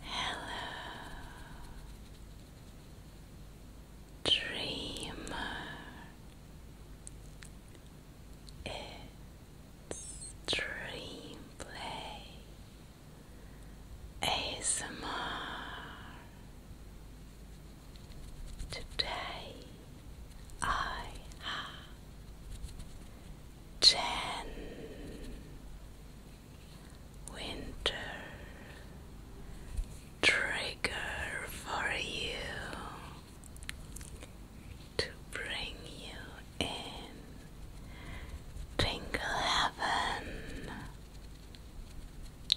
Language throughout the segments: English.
Hello, dreamer. It's dream play. Today I have ten winter trigger for you to bring you in Twinkle Heaven.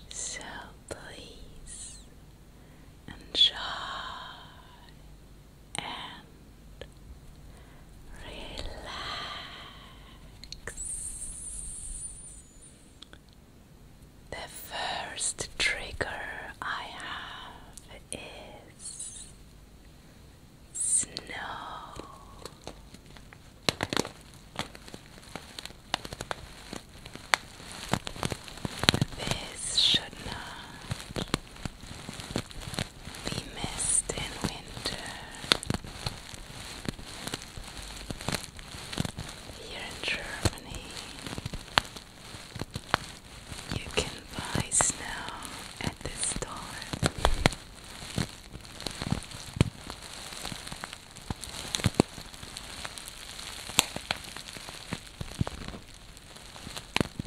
So please enjoy and relax. The first trigger I have is snow. This should not we missed in winter. Here in Germany, you can buy snow at the store.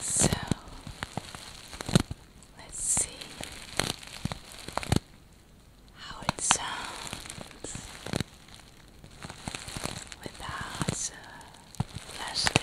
So let's see how it sounds without the plastic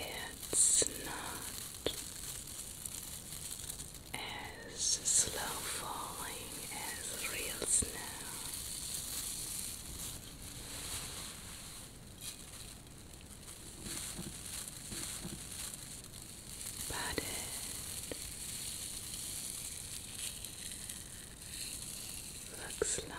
It's not as slow falling as real snow patted. Looks like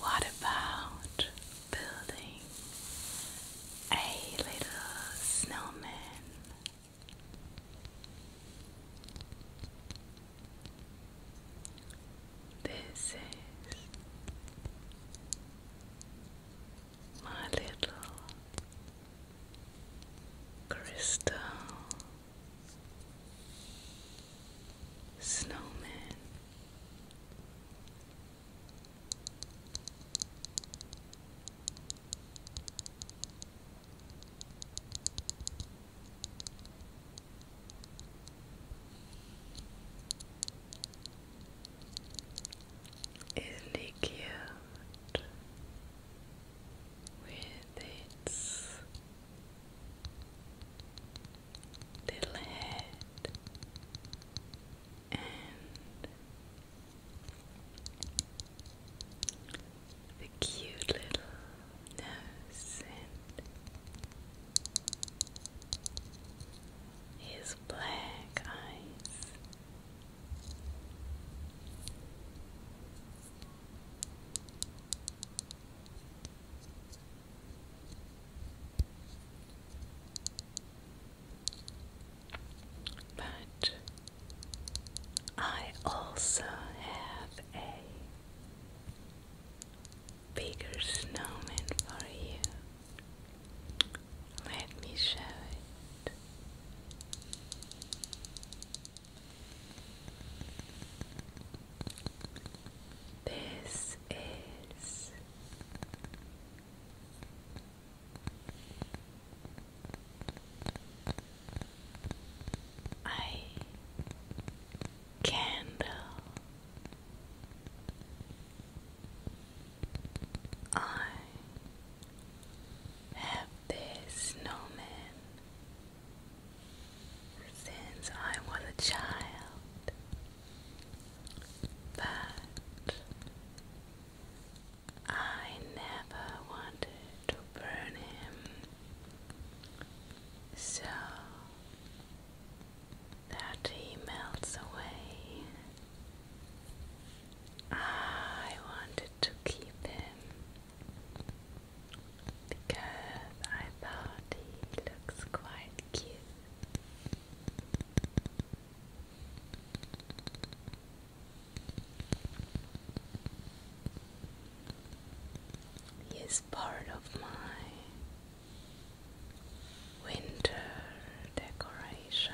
What about building a little snowman? This is my little crystal snowman. Isn't with its little head and the cute little nose and his black eyes. But I also have a bigger snowman for you. Let me show it. This is I candle I have this snowman since I was a child, but I never wanted to burn him, so that he melts away. I wanted to keep him because I thought he looks quite cute. He is part of my winter decoration.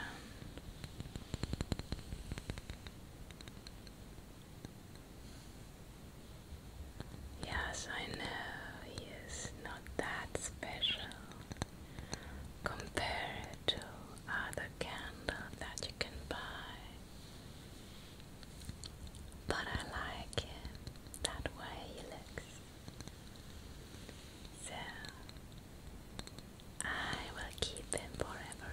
Yes, I know he is not that special compared to other candles that you can buy. But I like him that way he looks. So I will keep him forever.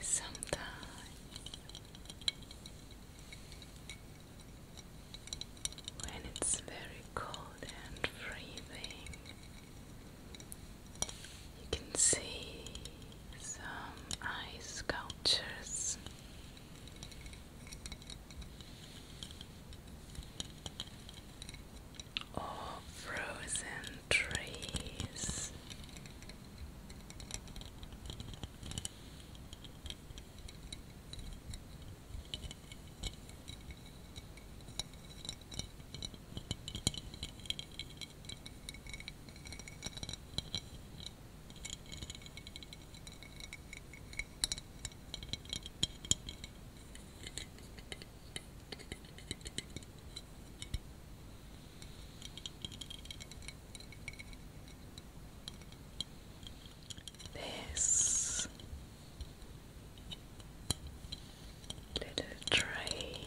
Sometimes when it's very cold and freezing, you can see some ice sculptures or frozen trees. This little tray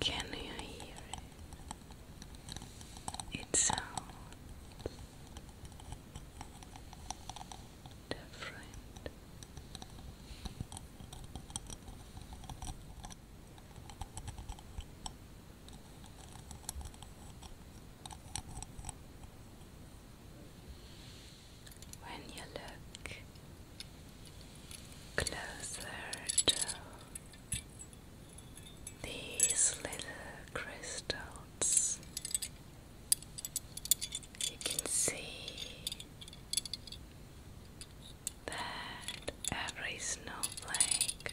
Can you hear it? It sounds different. When you look closer to these little crystals, you can see that every snowflake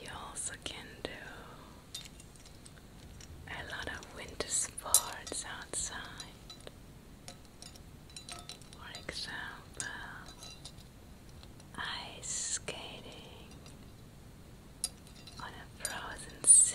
You also can do a lot of winter sports outside. For example, ice skating on a frozen sea.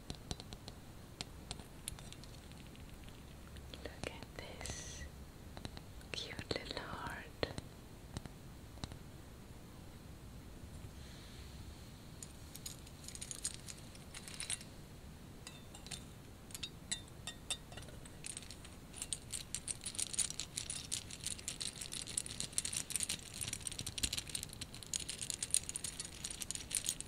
Look at this cute little heart.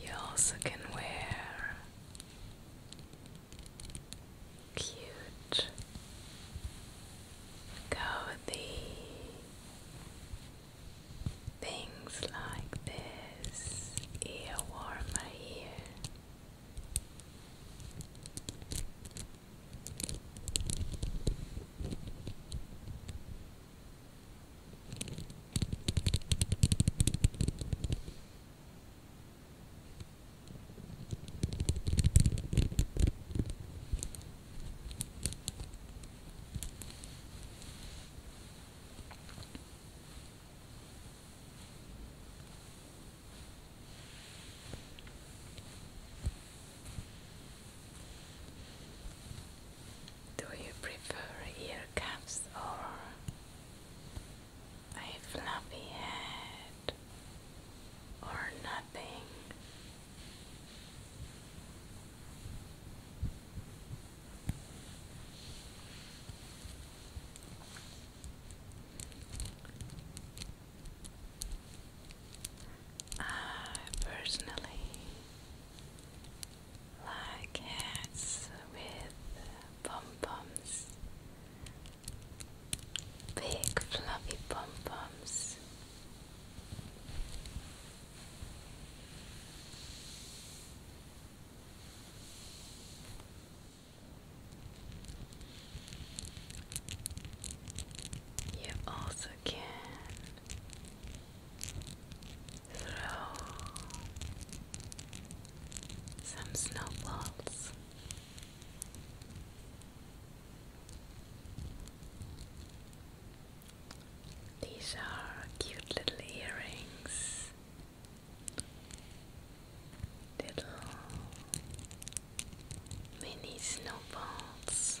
You also can wear Cute. Go the things like this ear warmer here. Do you prefer ear cuffs or a fluffy head or nothing. I personally like hats with pom poms, big fluffy pom poms. You also can throw some snowballs. These are cute little earrings, little mini snowballs.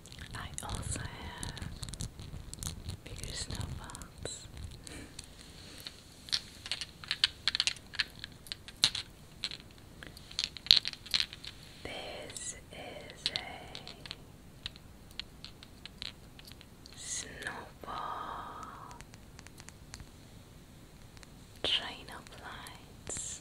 I also have bigger snowballs. this is a snowball train of lights.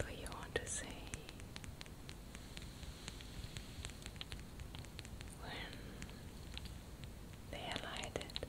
What you want to say when they lighted.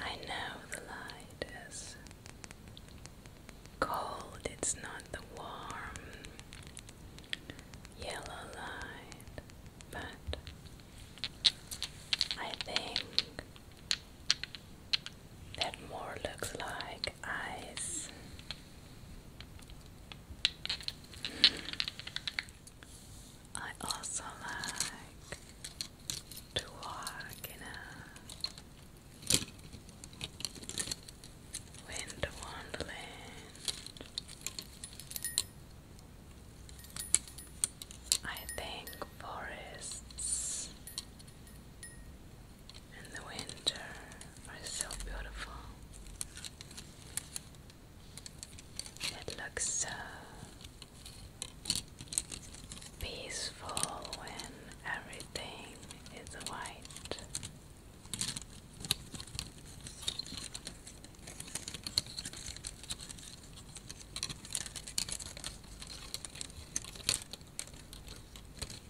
I know the light is cold, it's not the warm yellow light, but I think that more looks like eyes. I also like to walk in a winter wonderland. I think forests and the winter are so beautiful. It looks so peaceful when everything is white.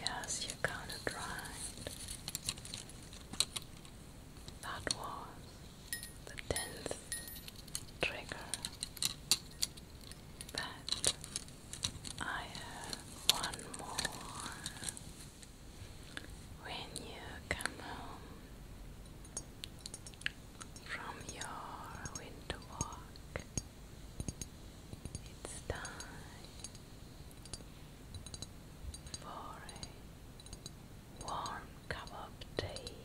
Yes, you are kind of right. That was the tenth trigger but I have one more when you come home from your winter walk it's time for a warm cup of tea.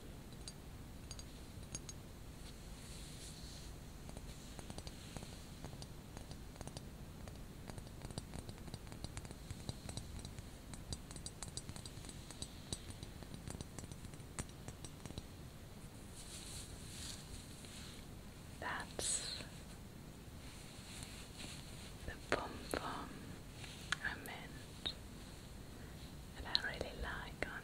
That's the pom pom I meant that I really like on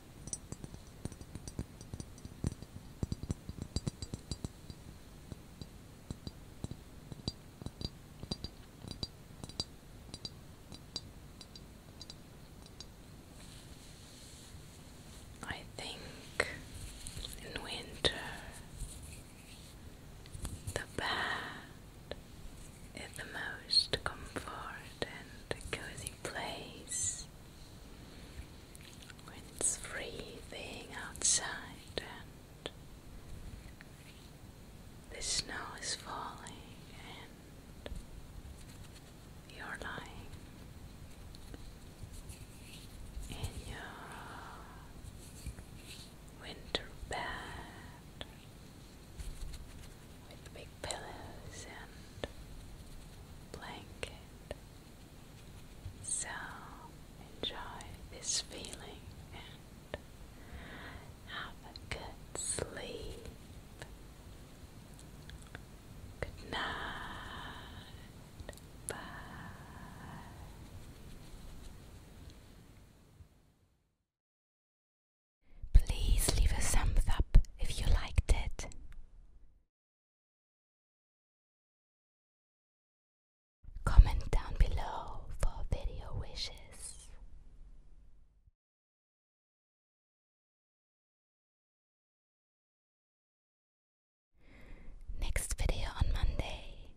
I think in winter the bed is the most comfort and cozy place when it's freezing outside and the snow is falling and you're lying in your winter bed with big pillows and blankets. So enjoy this feeling and have a good sleep. Good night. Please leave a thumbs up if you liked it. Comment down below for video wishes. Next video on Monday.